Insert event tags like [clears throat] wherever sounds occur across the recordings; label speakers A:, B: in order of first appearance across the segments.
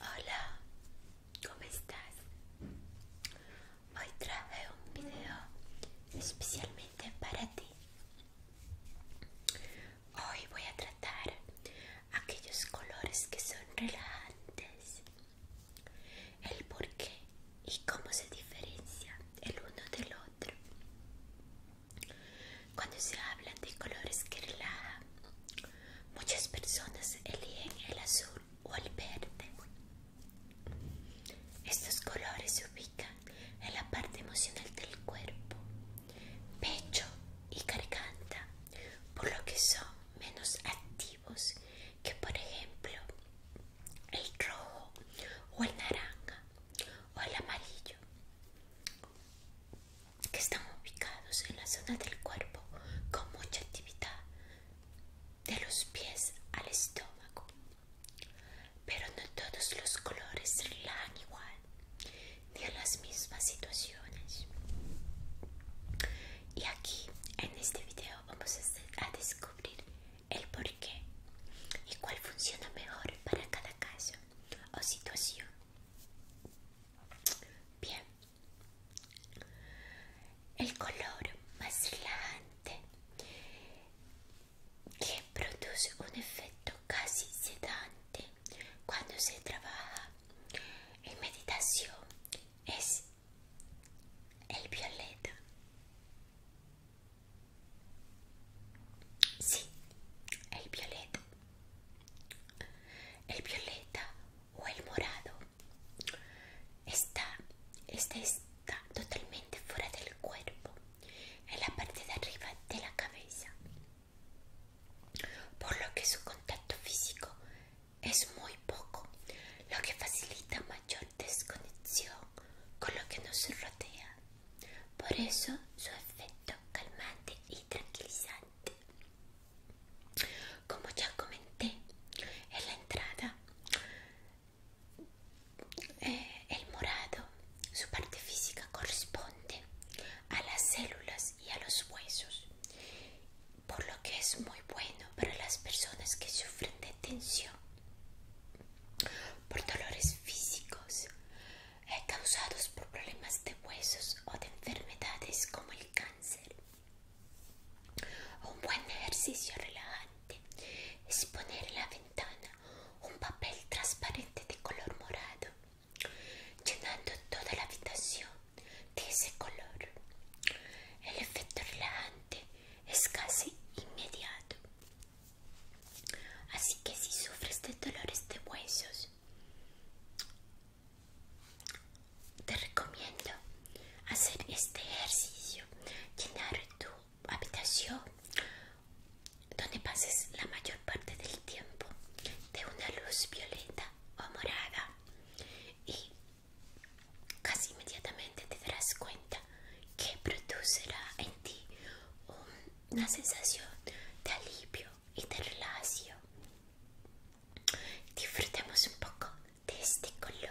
A: Hola, ¿cómo estás? Hoy traje un video especialmente para ti. Hoy voy a tratar aquellos colores que son relajantes, el por qué y cómo se diferencian el uno del otro. Cuando se habla de colores que relajan, muchas personas eligen el azul o el verde. Estos colores se ubican en la parte emocional del cuerpo, pecho y garganta, por lo que son menos activos que por ejemplo el rojo o el naranja o el amarillo que están ubicados en la zona del cuerpo con mucha actividad de los pies al estómago. Pero no todos los colores se relajan igual, ni en las mismas situaciones. Y aquí, en este video, vamos a, descubrir el porqué y cuál funciona mejor para cada caso o situación. Bien. El color más relajante que produce un efecto casi sedante cuando se trabaja en meditación es el violeta. Sí, el violeta el violeta o el morado. está totalmente fuera del cuerpo, en la parte de arriba de la cabeza, por lo que su contacto físico es muy poco, lo que facilita mayor desconexión con lo que nos rodea. Por eso su efecto calmante y tranquilizante. Como ya comenté en la entrada, eh, el morado, su parte física corresponde a las células y a los huesos, por lo que es muy bueno para las personas que sufren de tensión por dolores físicos causados por problemas de huesos o de enfermedades como el cáncer. Un buen ejercicio relajante es poner en la ventana un papel transparente de color morado, llenando toda la habitación de ese color. El efecto relajante es casi inmediato. Así que si sufres de dolores de huesos te recomiendo hacer este ejercicio, llenar tu habitación donde pases la mayor parte del tiempo de una luz violeta o morada y casi inmediatamente te darás cuenta que producirá en ti una sensación de alivio y de Disfrutemos un poco de este color.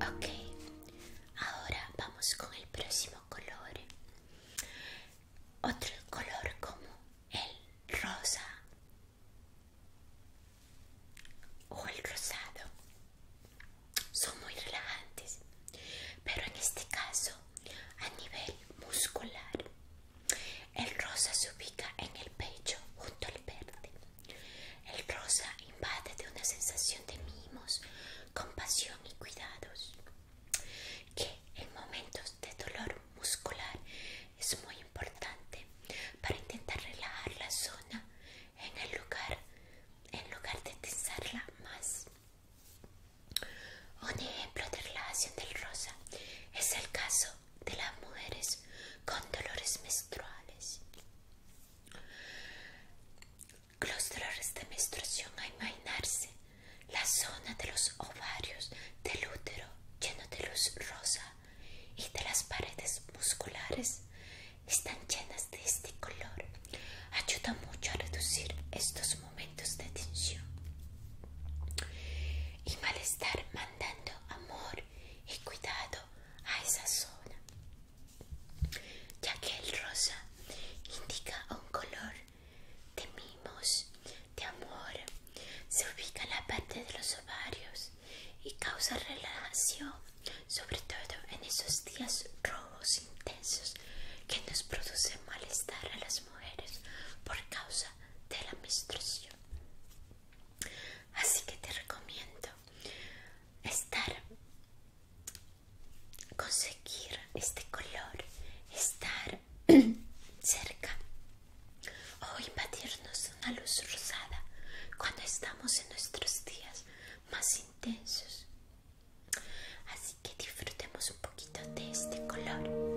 A: Okay, ahora vamos con el próximo color. Otro color como el rosa o el rosado son muy relajantes pero en este caso a nivel muscular el rosa se ubica en el pecho junto al verde el rosa invade de una sensación de mimos compasión y cuidados que en momentos de dolor muscular es muy importante para intentar relajar la zona en el lugar en lugar de tensarla más un ejemplo de relajación del rosa es el caso de las mujeres con dolores menstruales los dolores de menstruación a imaginarse la zona de los ovarios del útero lleno de luz rosa y de las paredes musculares están llenas de este color ayuda mucho a reducir estos momentos de tensión y malestar mandando amor y cuidado a esa zona ya que el rosa indica un color de mimos de amor se ubica en la parte de los ovarios y causa relajación, sobre todo en esos días rojos intensos que nos producen malestar a las mujeres por causa de la menstruación. Así que te recomiendo estar, conseguir este color, estar [clears throat] cerca Hoy invadirnos una luz rosada cuando estamos en nuestros días más intensos. Así que disfrutemos un poquito de este color.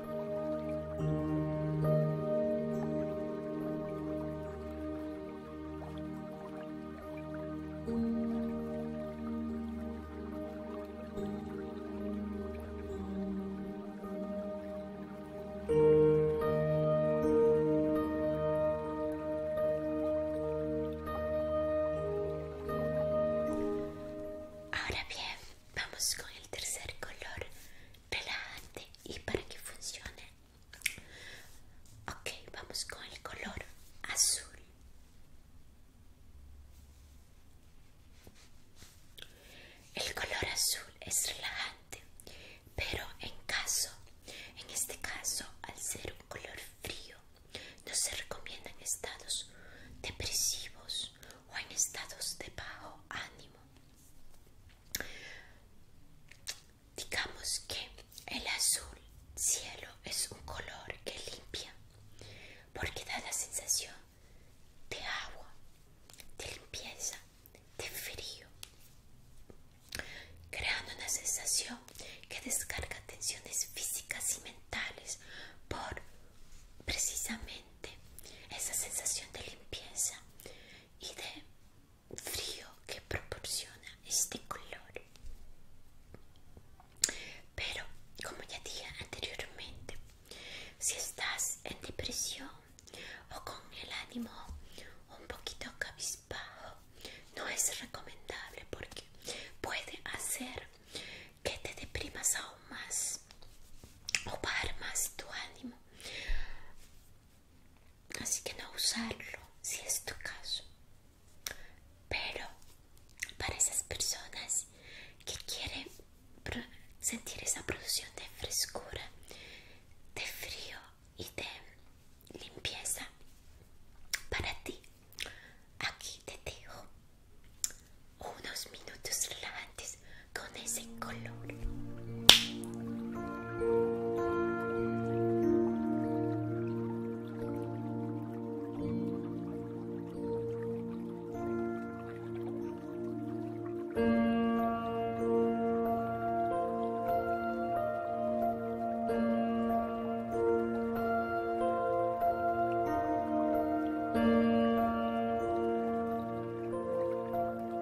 A: Ahora bien, vamos con el tercer color relajante y para que funcione ok vamos con el color azul el color azul es relajante pero en caso en este caso al ser un color frío no se recomienda en estados depresivos o en estados de bajo ánimo Digamos que el azul cielo es un color que limpia porque da la sensación de agua, de limpieza, de frío, creando una sensación que descarga tensiones físicas y mentales por precisamente esa sensación de limpieza y de frío que proporciona este color pero como ya dije anteriormente si estás en depresión o con el ánimo un poquito cabizbajo no es recomendable porque puede hacer que te deprimas aún más o para más tu ánimo así que no usarlo si es tu caso pero para esas personas que quieren sentir esa producción de frescura de frío y de limpieza para ti aquí te dejo unos minutos largos con ese color.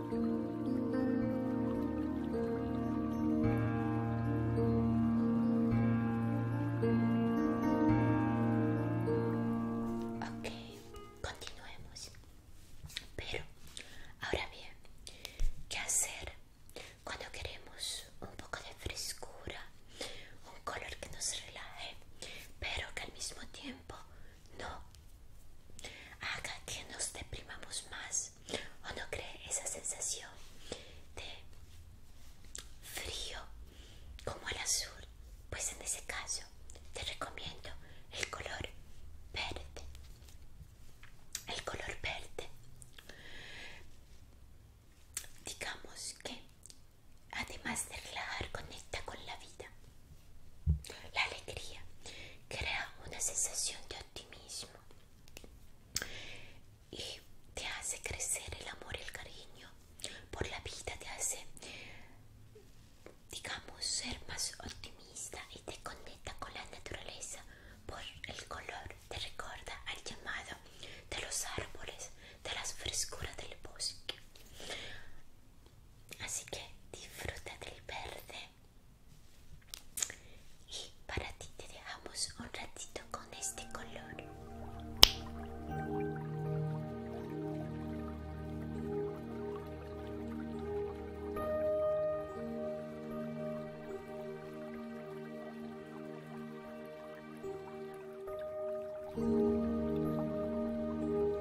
A: Ok, continuemos. Pero, ahora bien, ¿qué hacer cuando queremos un poco de frescura? Un color que nos relaje, pero que al mismo tiempo no. Haga que nos deprimamos más. ¿O no cree esa sensación de frío como el azul? Pues en ese caso te recomiendo el color verde. El color verde. Digamos que además de relajar, conecta con la vida. La alegría crea una sensación de optimismo y te hace crecer el amor, y el cariño por la vida, te hace, digamos, ser más optimista y te conecta con la naturaleza por el color, te recuerda al llamado de los árboles, de la frescura del bosque. Así que disfruta del verde. Y para ti te dejamos un ratito con este color.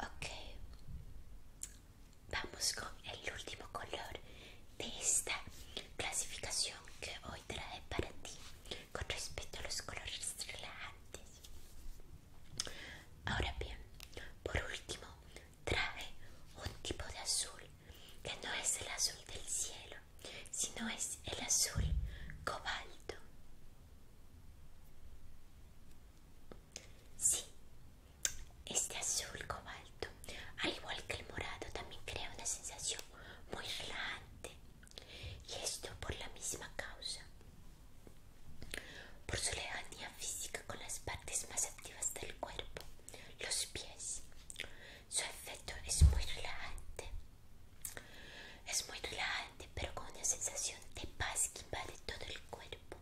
A: Ok, vamos con el último color de esta clasificación que trae para ti con respecto a los colores relajantes. Ahora bien, por último, trae un tipo de azul que no es el azul del cielo, sino es el azul cobalto. Sí, este azul cobalto, al igual que el morado, también crea una sensación muy relajante y esto por la misma causa por su lejanía física con las partes más activas del cuerpo los pies su efecto es muy relajante es muy relajante pero con una sensación de paz que invade todo el cuerpo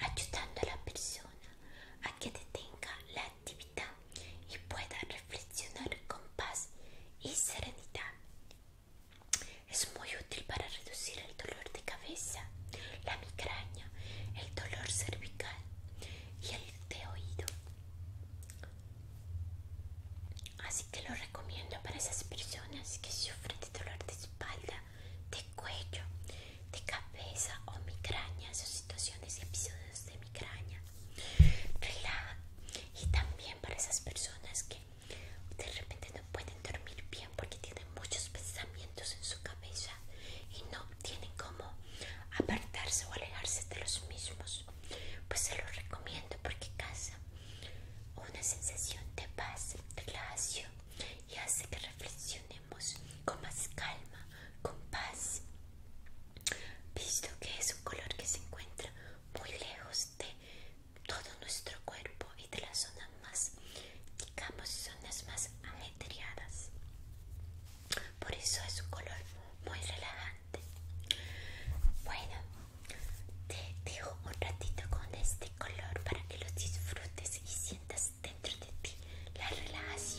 A: ayudando a la persona a que detenga la y pueda reflexionar con paz y serenidad. Es muy útil para reducir el dolor de cabeza, la migraña, el dolor cervical y el de oído. Así que lo recomiendo para esas personas que sufren de dolor de espalda, de cuello, de cabeza o migrañas o situaciones y de migraña relaja y también para esas personas que de repente no pueden dormir bien porque tienen muchos pensamientos en su cabeza y no tienen cómo apartarse o alejarse de los mismos pues se los recomiendo porque casa una sensación de paz relajación y hace que reflexionemos con más calma con paz, visto que es un color que se encuentra muy lejos de todo nuestro cuerpo y de las zonas más, digamos, zonas más ajetreadas. Por eso es un color muy relajante. Bueno, te dejo un ratito con este color para que lo disfrutes y sientas dentro de ti la relajación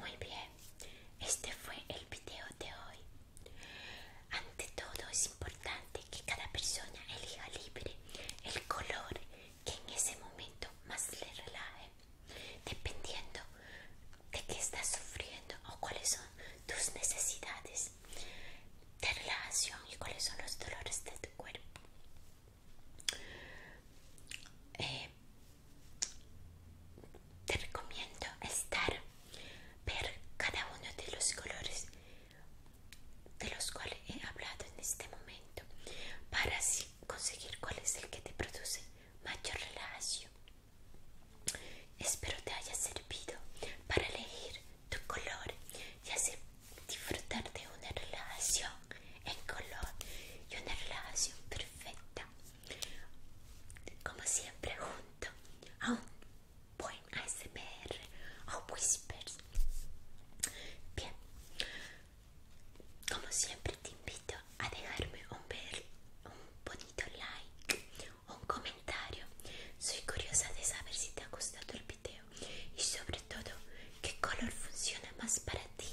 A: Muy bien, este fue el video de hoy. Ante todo es importante que cada persona elija libre el color que en ese momento más le relaje, dependiendo de qué está sufriendo o cuáles son tus necesidades de relación y cuáles son los dolores de tu cuerpo. Eh, te recomiendo estar, ver cada uno de los colores de los cuales he hablado en este momento para así conseguir cuál es el que te produce mayor relajación. Espero te haya servido para elegir tu color y hacer disfrutar de una relación en color y una relación perfecta. Como siempre junto a un buen ASMR o Whispers. Bien, como siempre te invito a dejarme un bonito like, un comentario. Soy curiosa de saber si te ha gustado el video y sobre todo qué color funciona más para ti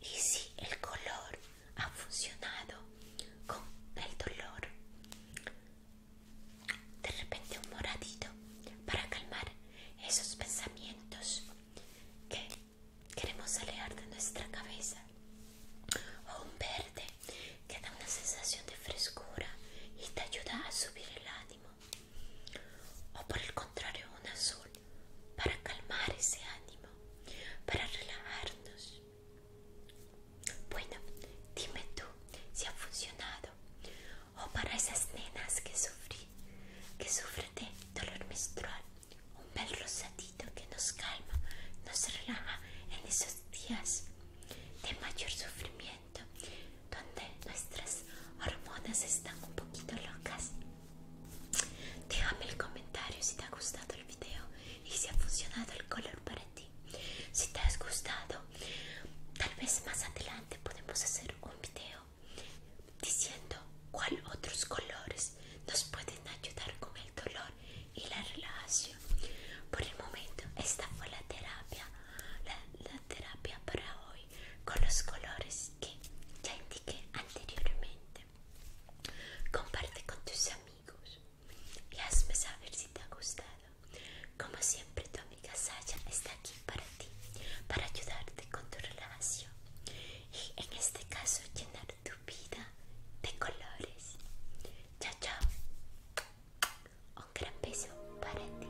A: y si el color ha funcionado con el dolor. De repente un moradito para calmar esos pensamientos que queremos alejar de nuestra cabeza o un verde que da una sensación de frescura y te ayuda a subir el ánimo o por el contrario un azul para calmar ese ánimo para relajarnos bueno dime tú si ha funcionado o para esas nenas que sufrí que sufren de dolor menstrual un bel rosadito que nos calma nos relaja en esos días de mayor sufrimiento, donde nuestras hormonas están un poquito locas. Déjame el comentario si te ha gustado el video y si ha funcionado el color para ti. Si te has gustado, tal vez más adelante podemos hacer un video diciendo cuál otros colores nos pueden ayudar con el dolor y la relación Por el momento, esta fue la terapia, la, terapia para hoy con los colores que ya indiqué anteriormente. Comparte con tus amigos y hazme saber si te ha gustado. Como siempre, tu amiga Sasha está aquí para ti, para ayudarte con tu relación y en este caso llenar tu vida de colores. Chao, chao. Un gran beso para ti.